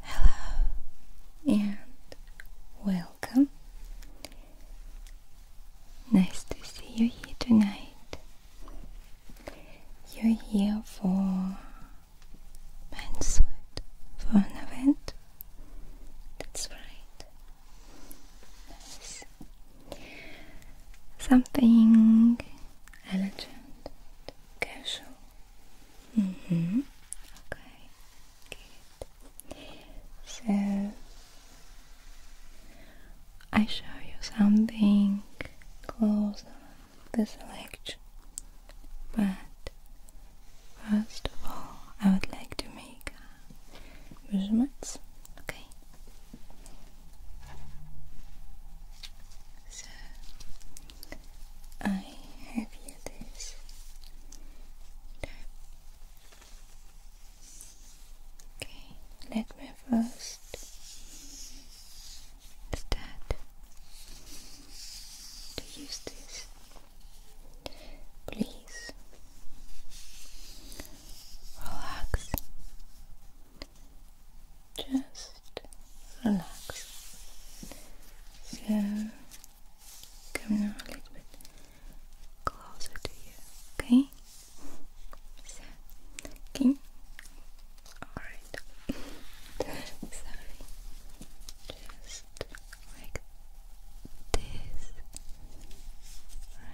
Hello and welcome. Nice to see you here tonight. You're here for Bansuit for an event. That's right. Nice. Something elegant, casual. Mm hmm. Okay, So, I show you something close the selection, but first of all, I would like to make measurements. Okay. So I have here this Okay, let me first start to use this. Please relax. Just relax. So come a little bit closer to you, okay? So, okay. Alright. Sorry. Just like this.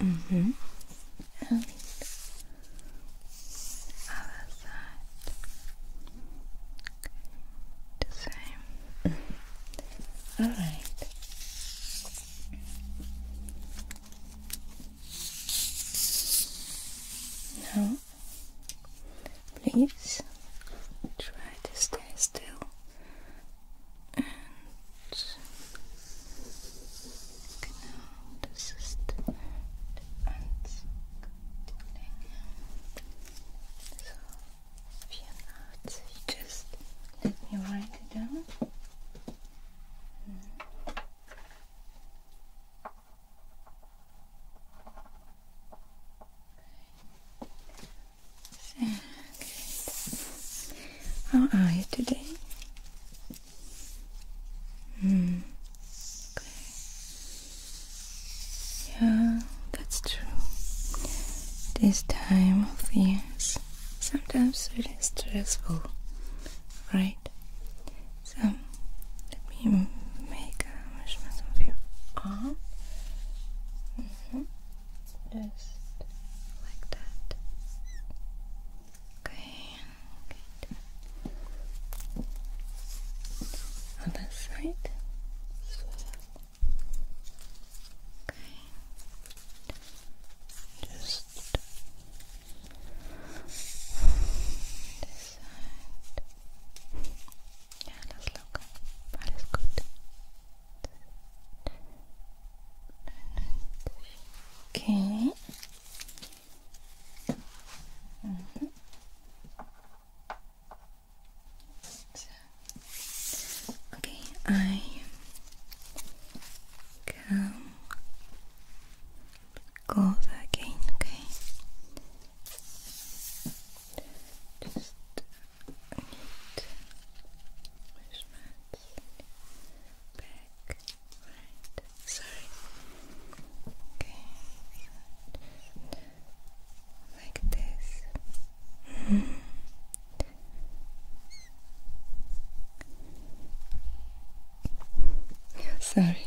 Mm-hmm. mm-hmm. And other side. The same. All right. Now, please try to stay still and now this is the ants So, if you just let me write it down. How are you today? Mm. Yeah, that's true. This time of year, sometimes it is stressful, right? So let me make a wish. of your Just like that. Okay. Good. Other side. Okay. Just just this side. Yeah, das locker. Okay. Okay, I come gold again, okay? Just need measurements back, right, sorry okay, like this -hmm. Sorry. All right.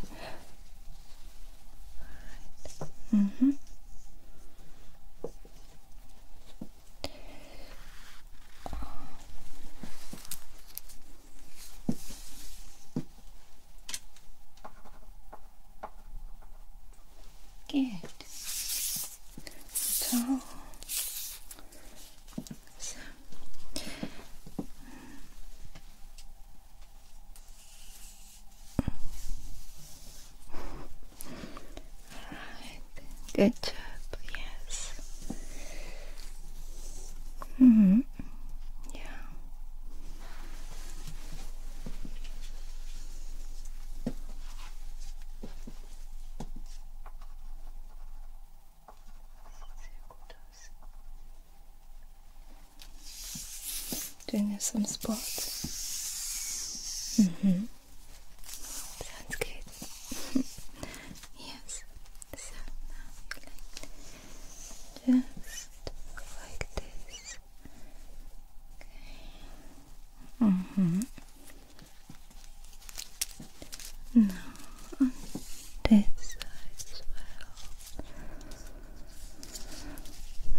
Mm Good. So so. Alright, good job, yes. Mm hmm Yeah. Doing some spots. hmm Sounds good. yes. So like this. Okay. hmm no, on this side as well.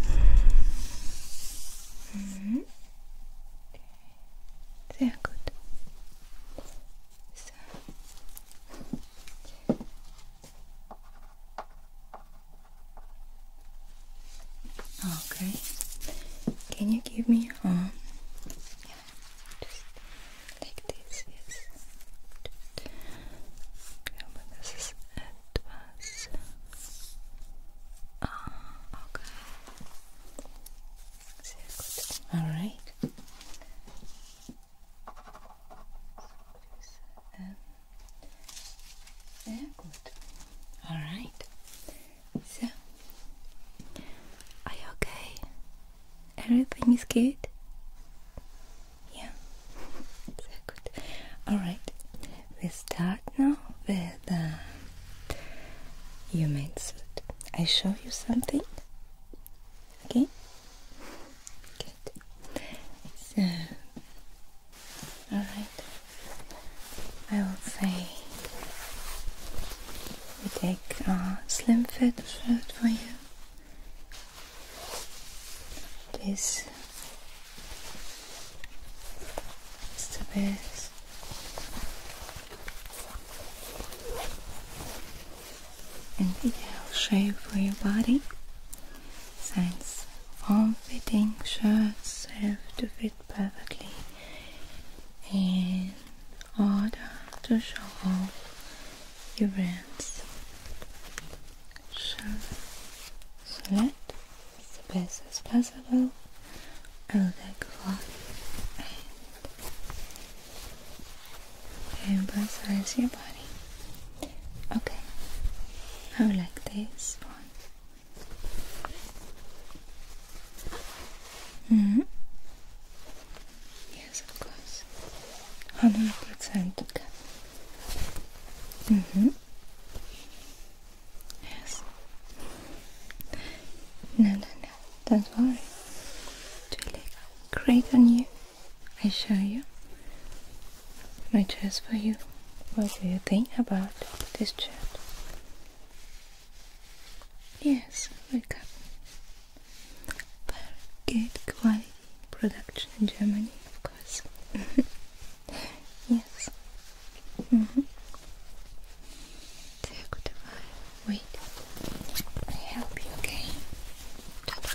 -hmm. okay. Sehr gut. So. Okay. Can you give me um like this, yes. Yeah, this is ah, okay. Sehr gut. Alright. Sehr Alright. So, are you okay? Everything is good? Yeah, so good. Alright, we start now with the uh, human suit. I show you something. Okay? Good. So, alright. I will say we take uh, slim fit shirt for you. This is the best. An ideal shape for your body. Since form-fitting shirts have to fit perfectly and order to show off your brands. So select the best as possible. I'll take one and emphasize your body. Okay, I would like this one. -hmm. Yes, of course. 100% okay. Mm-hmm. Yes. No, no, no. that's not worry. It will great on you. I show you my chest for you. What do you think about this shirt? Yes, wake up for good quality production in Germany, of course. yes. Mm -hmm. Wait, I help you, okay? Don't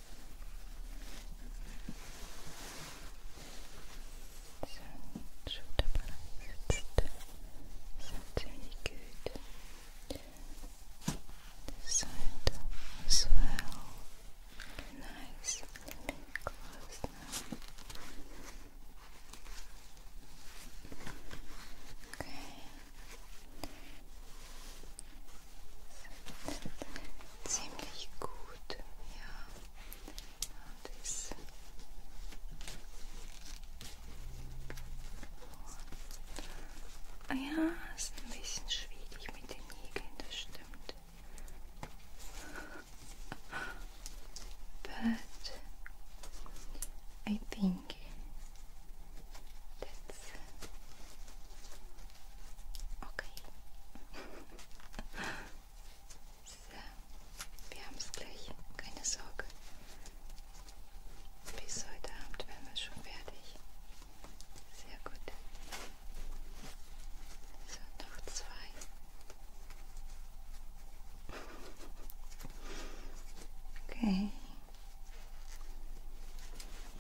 Sound should have balanced. Sounds good. This as well. Nice. close Okay. ziemlich gut, ja. Und ist oh. ah ja, ist ein bisschen schwierig mit den Nägeln, das stimmt. But I think that Okay. so, wir haben es gleich, keine Sorge. Bis heute Abend werden wir schon fertig. Sehr gut. So, noch zwei. Okay.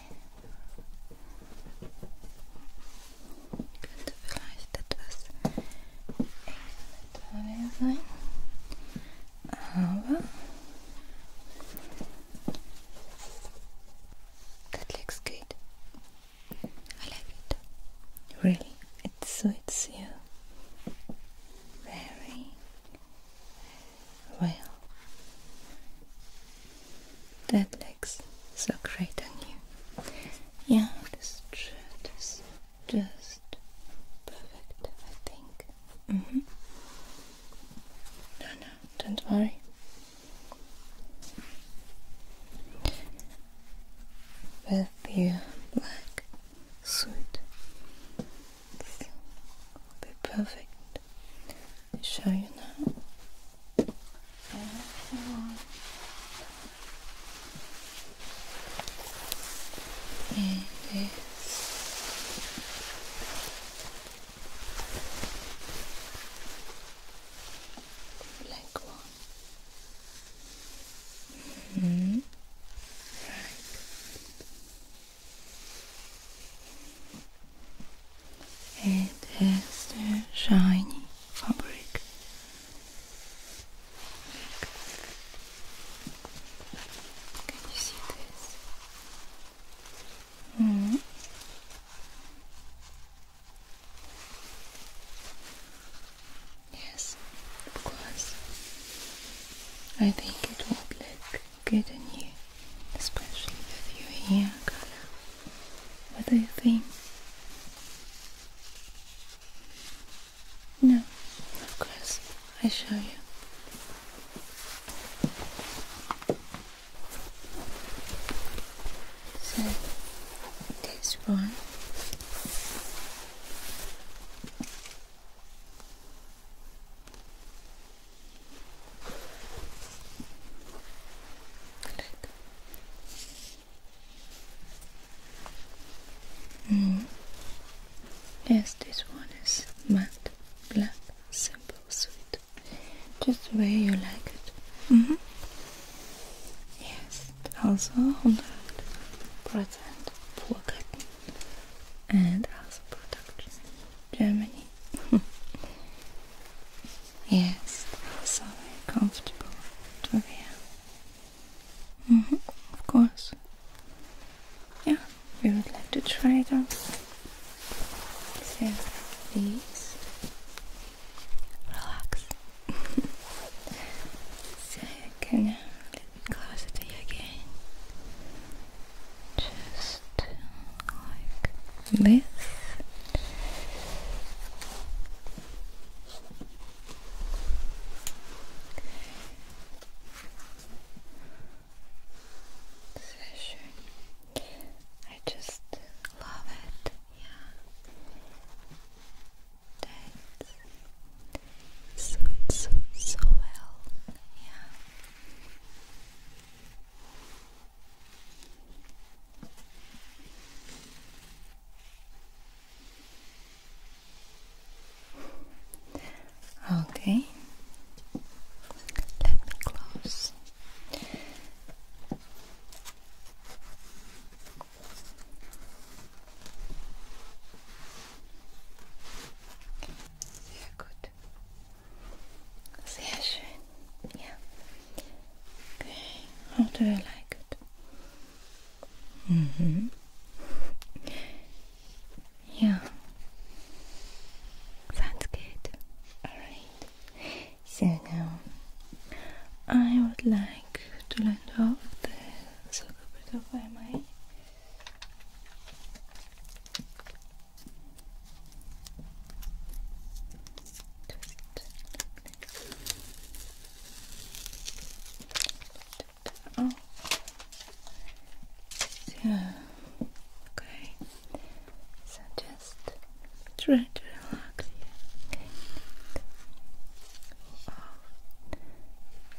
Good, realize that was excellent value Aber that looks good. I like it. Really, it suits you very well. That so great on you. Yeah, Just, just, just perfect, I think. Mm-hmm. No, no, don't worry. With your black suit, this will be perfect show you now. Everyone black one. -hmm. Right. It has the shiny fabric. Can you see this? Mm. Yes, of course. I think it would look good on you, especially if you're here. What do you think? No, of course, I show you. So, this one. Mm. Yes, this one is matte black, simple, sweet, just the way you like it. Mm -hmm. Yes, also 100% pure cotton and also production Germany. yes, that's all very comfortable, Toria. Mm -hmm, of course. Yeah, we would like to try it out. So, please relax. so, can you let closer to you again? just like this. I just love it. Yeah. That's so, so well. Yeah. Okay, let me close. Sehr gut. Sehr schön. Okay. How do you like it? Mhm. Yeah. Sounds good. Alright. So now I would like to land off the circle bit Oh. Yeah. Okay. So just try to relax here.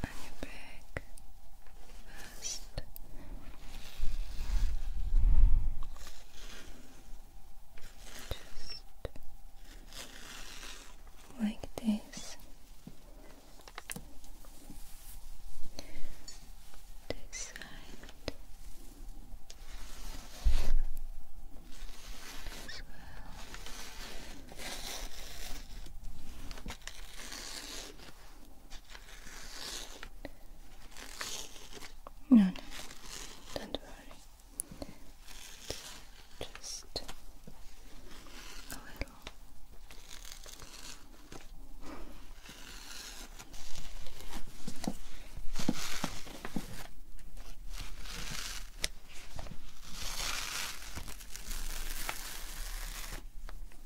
on your back first. Just like this. This side as well. No, no, don't worry. Just a little.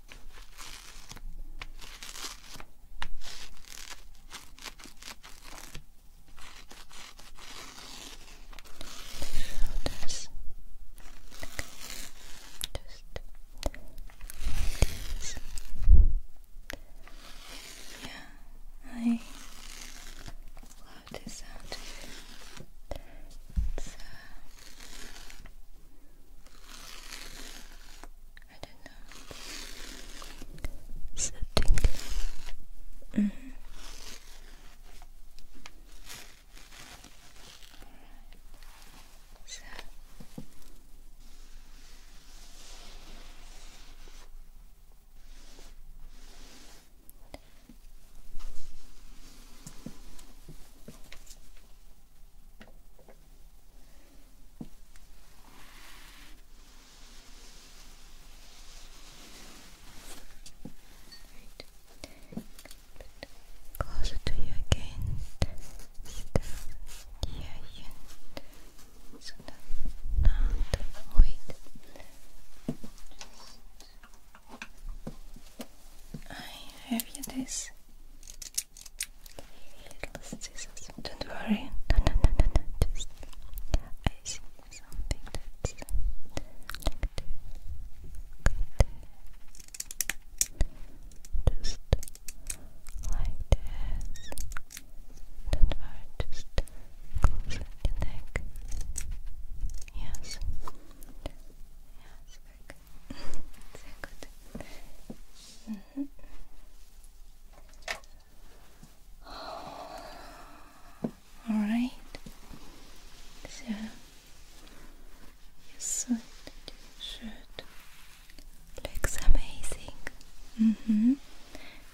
Shoulders. Okay. Just yeah, I love this sound. I don't know. So -hmm. So Closer to you again. Still here, So that not wait. I have you this Don't worry. No, no, no, no, no. Just I see something that's just like this. Don't worry. Just close your neck. Yes. Yes. All right. So your sweat shirt looks amazing. Mm -hmm.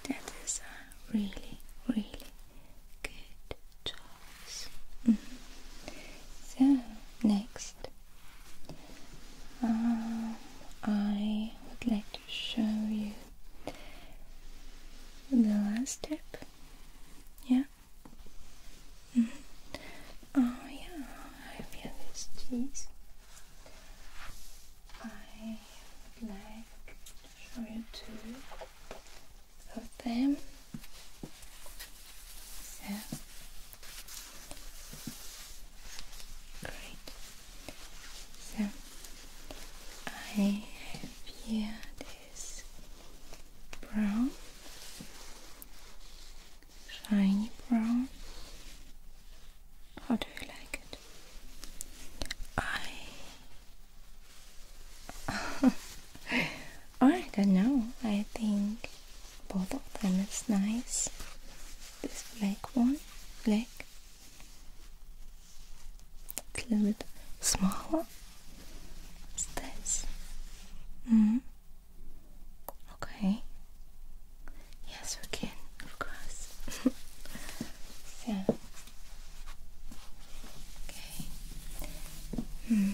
That is a really, really good job. So next, um, I would like to show you the last step. Yeah. Mm-hmm. Oh yeah, I feel this cheese. I would like to show you too of them. So great. So I have here this brown, shiny brown. How do you like it? I I don't know, I think both of them is nice. This black one, black, a little bit smaller. this? hmm. Okay. Yes, we can, of course. so. Okay. -hmm.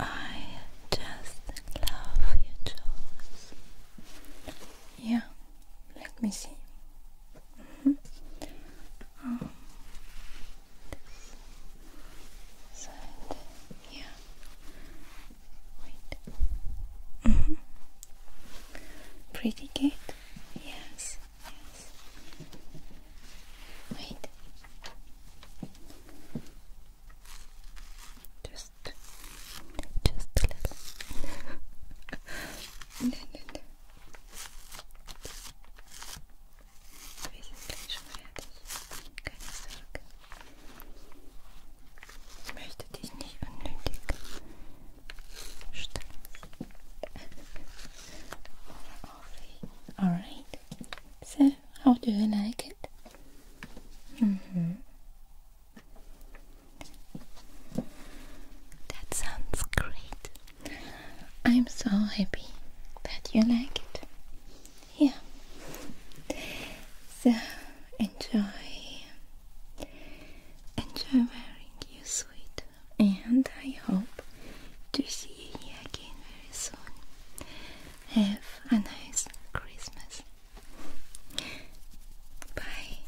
I just love your jaws. Yeah, let me see. Mm-hmm. Oh, yeah. Wait. Mm Pretty good. Yes. Yes. Wait. Just, just a little. no, no, no. Wir sind gleich schon fertig. Keine Alright, so how do you like it? Mm-hmm. That sounds great. I'm so happy that you like it. Yeah. So enjoy. Enjoy wearing you, sweet. And I hope to see you again very soon. Have a nice Christmas. Bye.